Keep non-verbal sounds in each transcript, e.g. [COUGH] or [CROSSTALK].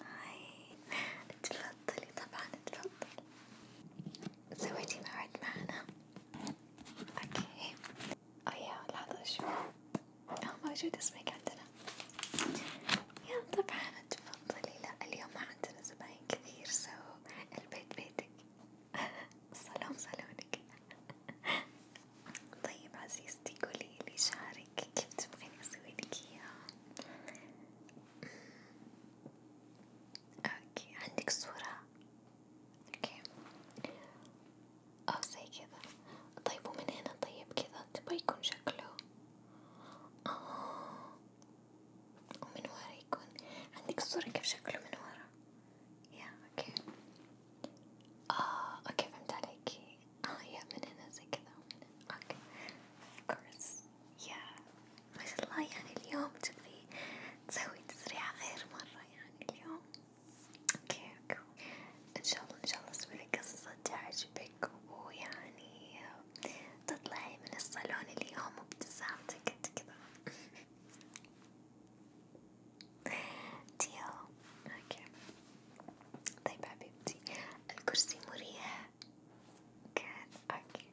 هاي تفضلي طبعا تفضلي سويتي موعد معنا اوكي ايوه لحظة شوف اه موجود اسمك عندنا يا طبعا تفضلي لا اليوم ما عندنا زباين كثير سو البيت بيتك الصالون [LAUGHS] صالونك [LAUGHS] طيب عزيزتي قولي لي شعرك كيف تبغيني اسويلك اياه اوكي عندك صورة اوكي او زي كذا طيب ومن هنا طيب كذا تبغى يكون شكله اه ومن ورا يكون عندك صورة كيف شكله من ورا يا اوكي اه اوكي فهمت عليكي اه يا من هنا زي كذا ومن هنا اوكي كورس يا ما شاء الله يعني اليوم تبغي تسوي تسريعة غير مرة يعني اليوم اوكي اوكي ان شاء الله ان شاء الله اسوي لك قصة تعجبك ويعني تطلعي من الصالون اليوم وابتسامتك انت كذا ديو اوكي طيب حبيبتي الكرسي مريح كان اوكي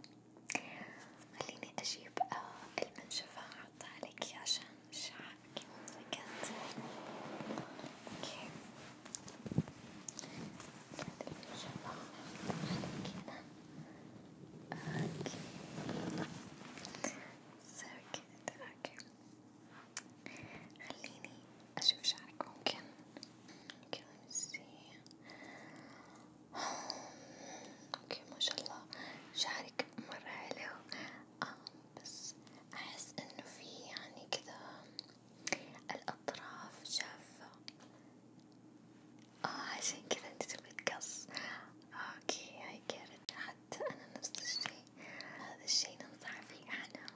خليني اجيب آه، المنشفة احطها عليكي عشان شعرك كانت اوكي هذي المنشفة عليك هنا اوكي صار كده اوكي خليني أشوف شعرك ممكن ممكن اوكي ما شاء الله شعرك مرة حلو آه بس أحس إنه في يعني كذا الأطراف جافة اه عشان كذا انت تبي تقص اوكي هاي كارت حتى أنا نفس الشي هذا الشي ننصح فيه أنا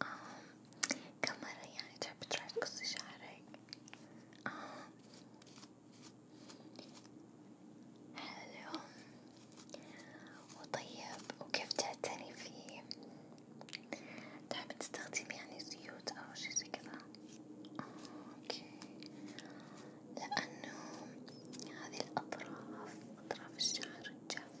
آه كم مرة يعني تحب تروحي تقصي شعرك؟ آه حلو وطيب وكيف تعتني فيه؟ تحب تستخدمي يعني زيوت أو شي زي كذا؟ آه أوكي لأنه هذه الأطراف أطراف الشعر الجافة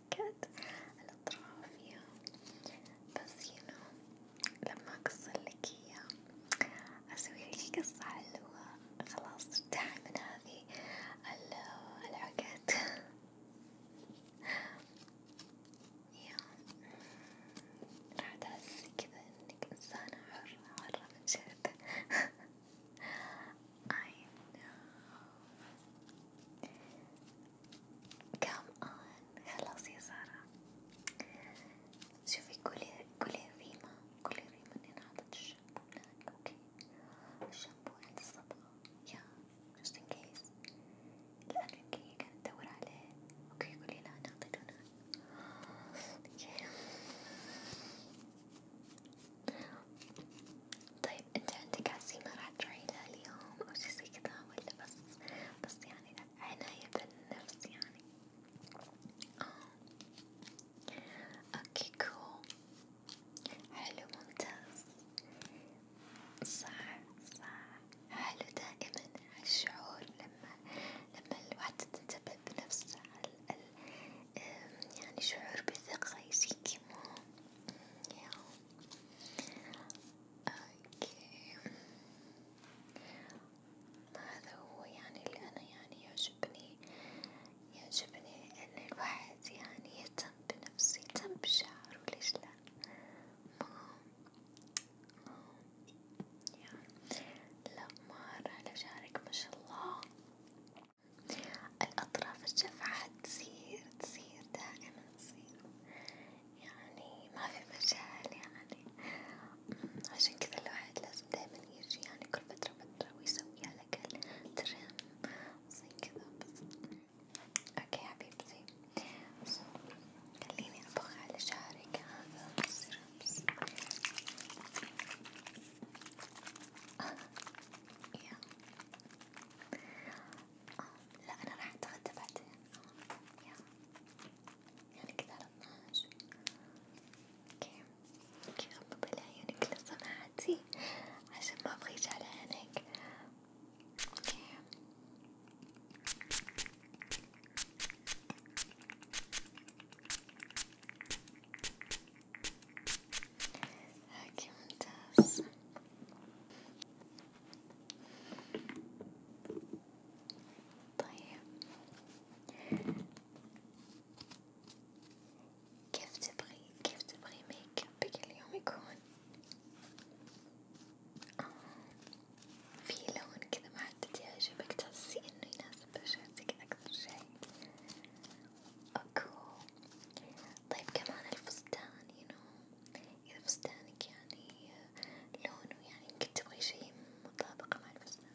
حكت الأطراف يا بس ينو لما أقصلك إياه أسويلك قصة حلوة خلاص ارتاحي من هذه العقد يا راح تحسي كذا إنك إنسانة حرة حرة من جد [LAUGHS] I know كم آن خلاص يا سارة شوفي كلي كلي ريما كلي ريما اللي انعطت الشامبو هناك اوكي الشامبو عند الصبغة يا جست ان كيس الأمريكية كانت تدور عليه اوكي قولي لا انا اعطيته هناك طيب طيب انت عندك عزيمة راح تروحيلها اليوم أو شي زي كذا ولا بس بس يعني عناية بالنفس يعني آه اوكي cool. حلو ممتاز صح صح حلو دائما الشعور لما لما الواحد تنتبه بنفسه يعني شعور بثقة يجيكي مو ياو اوكي هذا هو يعني اللي انا يعني يعجبني يعجبني ان الواحد يعني يهتم بنفسه يهتم بشعره ليش لا يعني لا مرة على شعرك ما شاء الله الأطراف الشفعة تصير تصير دائما نسينا يعني ما في مجال يعني أمم، عشان كذا الواحد لازم دايما يجي يعني كل فترة فترة ويسوي على الأقل ترم زي كذا بس اوكي حبيبتي so, خليني أطبخ على شعرك هذا السيرمز [LAUGHS] لا أنا راح أتغدى بعدين يعني كذا على اثناش اوكي اوكي غمضي لعيونك لو سمحتي عشان ما أبغى يجي على عينك اوكي اوكي ممتاز طيب كيف تبغي كيف تبغي ميك ابك اليوم يكون في لون كذا محدد يعجبك تحسي انه يناسب بشرتك اكثر شي اوكو طيب كمان الفستان ينو إذا فستانك يعني لونه يعني يمكن تبغي شي مطابق مع الفستان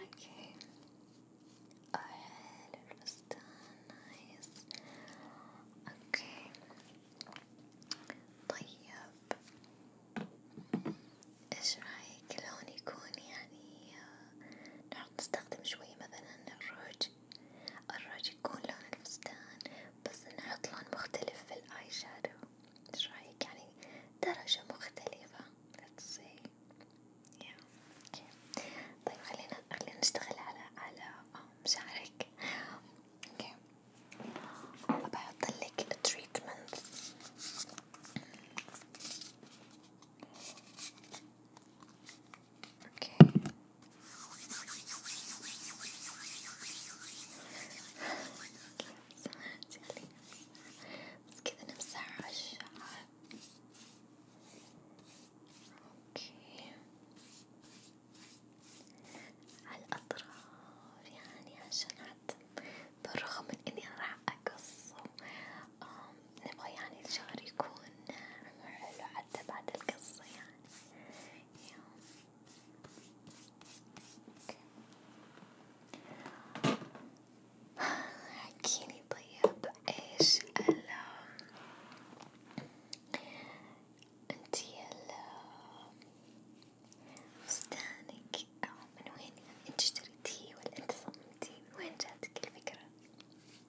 اوكي آه حلو الفستان نايس اوكي طيب ايش رايك لون يكون يعني آه، نحط نستخدم شوية مثلا الروج الراج يكون لون الفستان بس نحط لون مختلف في الآي شادو ايش رأيك يعني درجة مختلفة let's see yeah. okay. طيب خلينا خلينا نشتغل على على مشاعرك اوكي okay. بحط لك treatment اوكي بس كذا نمسح على الشعر اوكي على الأطراف يعني عشان بالرغم من إني راح أقصه نبغى يعني الشعر يكون نعم حلو حتى بعد القصة يعني يوم. حكيني طيب ايش ال انتي ال فستانك من وين انت اشتريتيه ولا انت صممتيه من وين جاتك الفكرة؟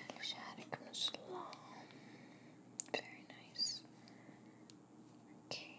Little Shaddock Very nice. Okay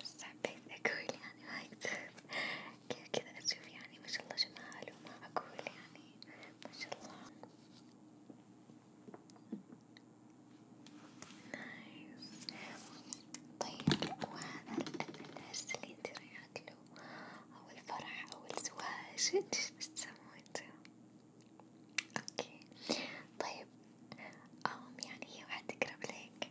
بس حبيت أقول يعني ما أقدر كيف كذا أشوف يعني ما شاء الله جمال وما أقول يعني ما شاء الله نايس طيب وهذا العرس اللي انت رايحة له أو الفرح أو الزواج ايش بتسموه انتو؟ اوكي طيب أم يعني هي واحدة تقرب لك؟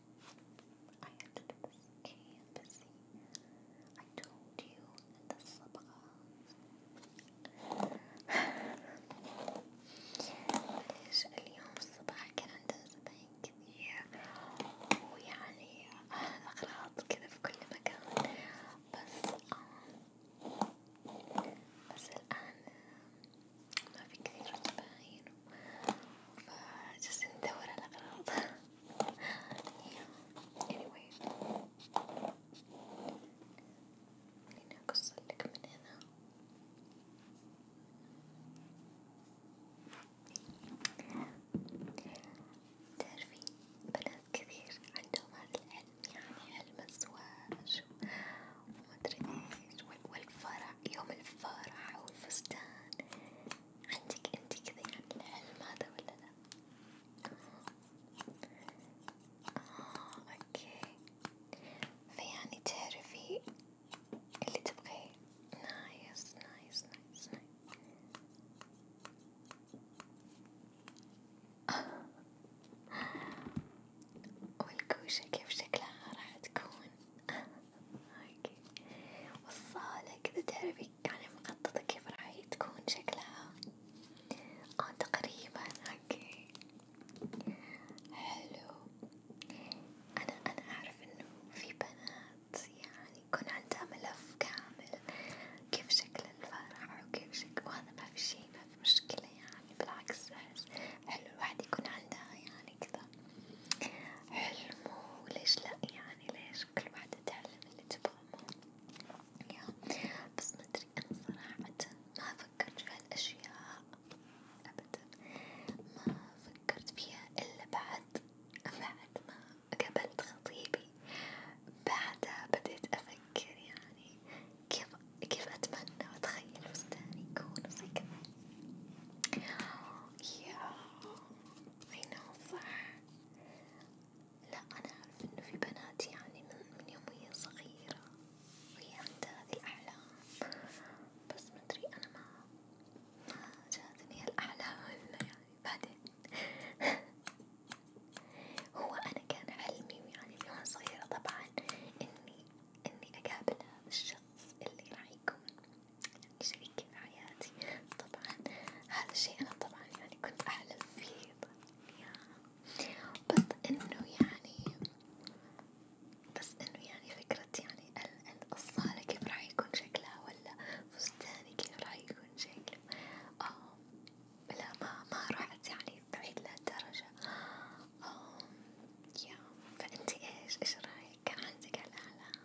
I had to do this canvassing. I told you [SIGHS] in the سبقة ليش اليوم الصباح كان عندنا زباين كثير ويعني أغراض كذا في كل مكان بس آه بس الآن ما في كثير زباين فجالسين ندور على الأغراض yeah. anyway خليني أقصلك من هنا تعرفي بنات كثير عندهم هذا العلم يعني علم الزواج ومدري ايش والفرح يوم الفرح والفستان عندك انتي كذا يعني الحلم هذا ولا لا؟ آه اوكي فيعني تعرفي اللي تبغيه نايس نايس نايس نايس والكوشة كيف شكلها راح تكون [LAUGHS] اوكي والصالة كذا تعرفي يعني مخططة كيف راح تكون شكلها اه تقريبا اوكي حلو انا انا اعرف انه في بنات يعني يكون عندها ملف كامل كيف شكل الفرح وكيف شكل وهذا ما في شي ما في مشكلة يعني بالعكس احس حلو الواحد يكون عندها يعني كذا هذا حلمه وليش لأ يعني ليش كل واحدة تعلم اللي تبغاه بس مدري أنا صراحة ما فكرت في هالأشياء أبدا ما فكرت فيها إلا بعد بعد ما قابلت خطيبي بعدها بديت أفكر يعني كيف كيف أتمنى وأتخيل فستاني يكون وزي كذا يا اي نعم صح لا انا اعرف انه في بنات يعني من, من يوم وهي صغيرة وهي عندها هذي الاحلام بس مدري انا ما ما جاتني الاحلام [LAUGHS] الا يعني بعدين [LAUGHS] هو انا كان حلمي يعني من وانا صغيرة طبعا اني اني اقابل هذا الشخص اللي راح يكون شريكي في حياتي طبعا هذا الشيء أنا طبعا يعني كنت أحلم فيه بس إنه يعني بس إنه يعني فكرة يعني الصالة كيف راح يكون شكلها ولا فستاني كيف راح يكون شكله آه لا ما ما رحت يعني بعيد لهالدرجة آه يا فأنتي إيش إيش رأيك كان عندك هالأحلام؟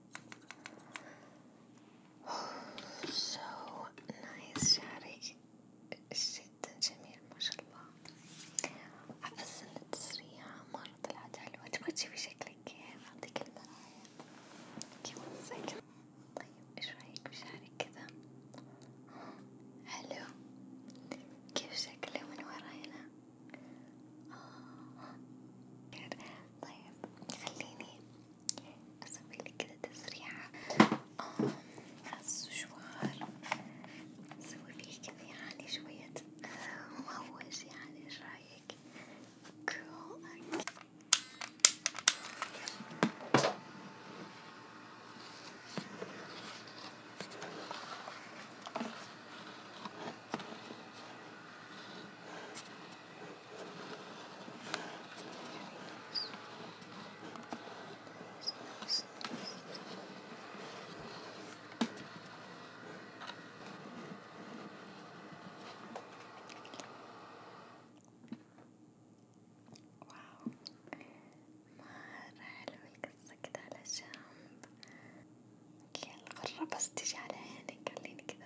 so nice شعرك جدا جميل ما شاء الله أحسن التسريع مرة طلعت حلوة تبغى تشوفي شكلك كيف أعطيك المراية كيف طيب ايش رايك بشعرك كذا؟ حلو كيف شكله من وراينا؟ آه، طيب خليني اسويلك كده تسريحة السشوار آه، نسوي فيه كذا يعني شوية مهوج يعني ايش رايك؟ واو مرة حلوة القصة كده على جنب، يلا قرب بس تجي على عينك خليني كده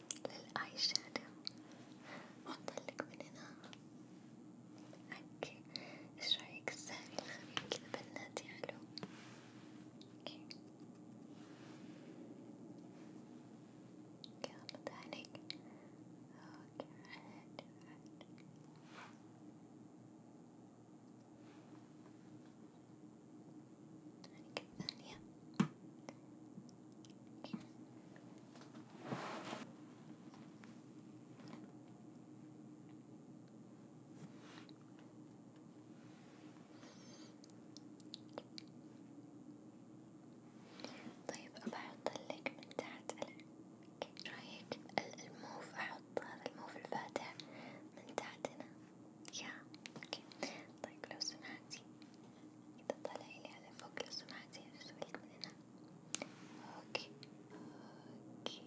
للاي شادو وحطلك من هنا اوكي ايش رايك السهل الخفيف كذا بناتي حلو اوكي يلا تعالي اوكي حلو حلو الثانية طيب أبى أحط لك من تحت رايك الموف أحط هذا الموف الفاتح من تحت هنا يا أوكي طيب لو سمحتي إذا طلعيلي على فوق لو سمحتي أشوفك من هنا أوكي أوكي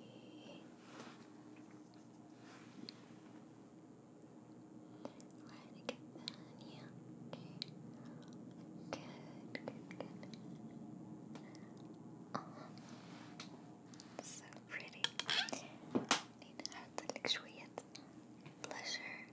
وعينك الثانية أوكي good good good آه so pretty نحط لك شوية blusher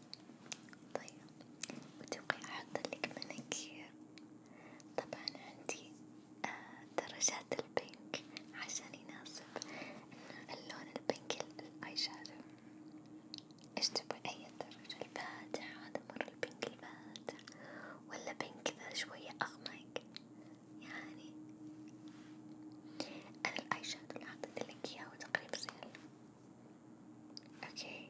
طيب وتبغي أحطلك مناكير طبعا عندي آه درجات البينك عشان يناسب اللون البينك الآي شادو ايش تبغي أي درجة الفاتح هذا مرة البينك الفاتح ولا بينك ذا شوية أغمق يعني أنا الآي شادو اللي حطيتلك إياه تقريبا صير اوكي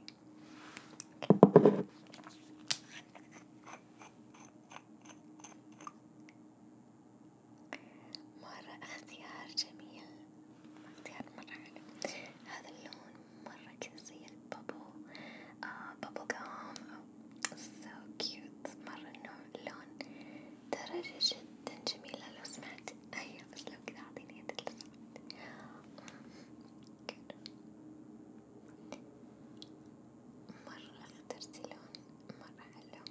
مرة اختيار جميل اختيار مرة حلو هذا اللون مرة كذا زي البابو آه بابو قام so cute مرة النوع اللون درجة جدا جميلة لو سمحت ايوه بس لو كذا اعطيني يدك لو سمحت أفكر مرة اخترت لون مرة حلو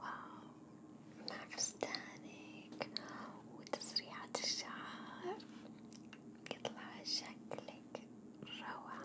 واو مع فستانك وتسريحة الشعر يطلع شكلك روعة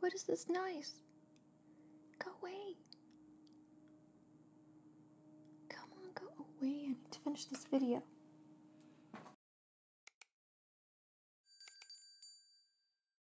what is this noise? Go away. Come on, go away. I need to finish this video.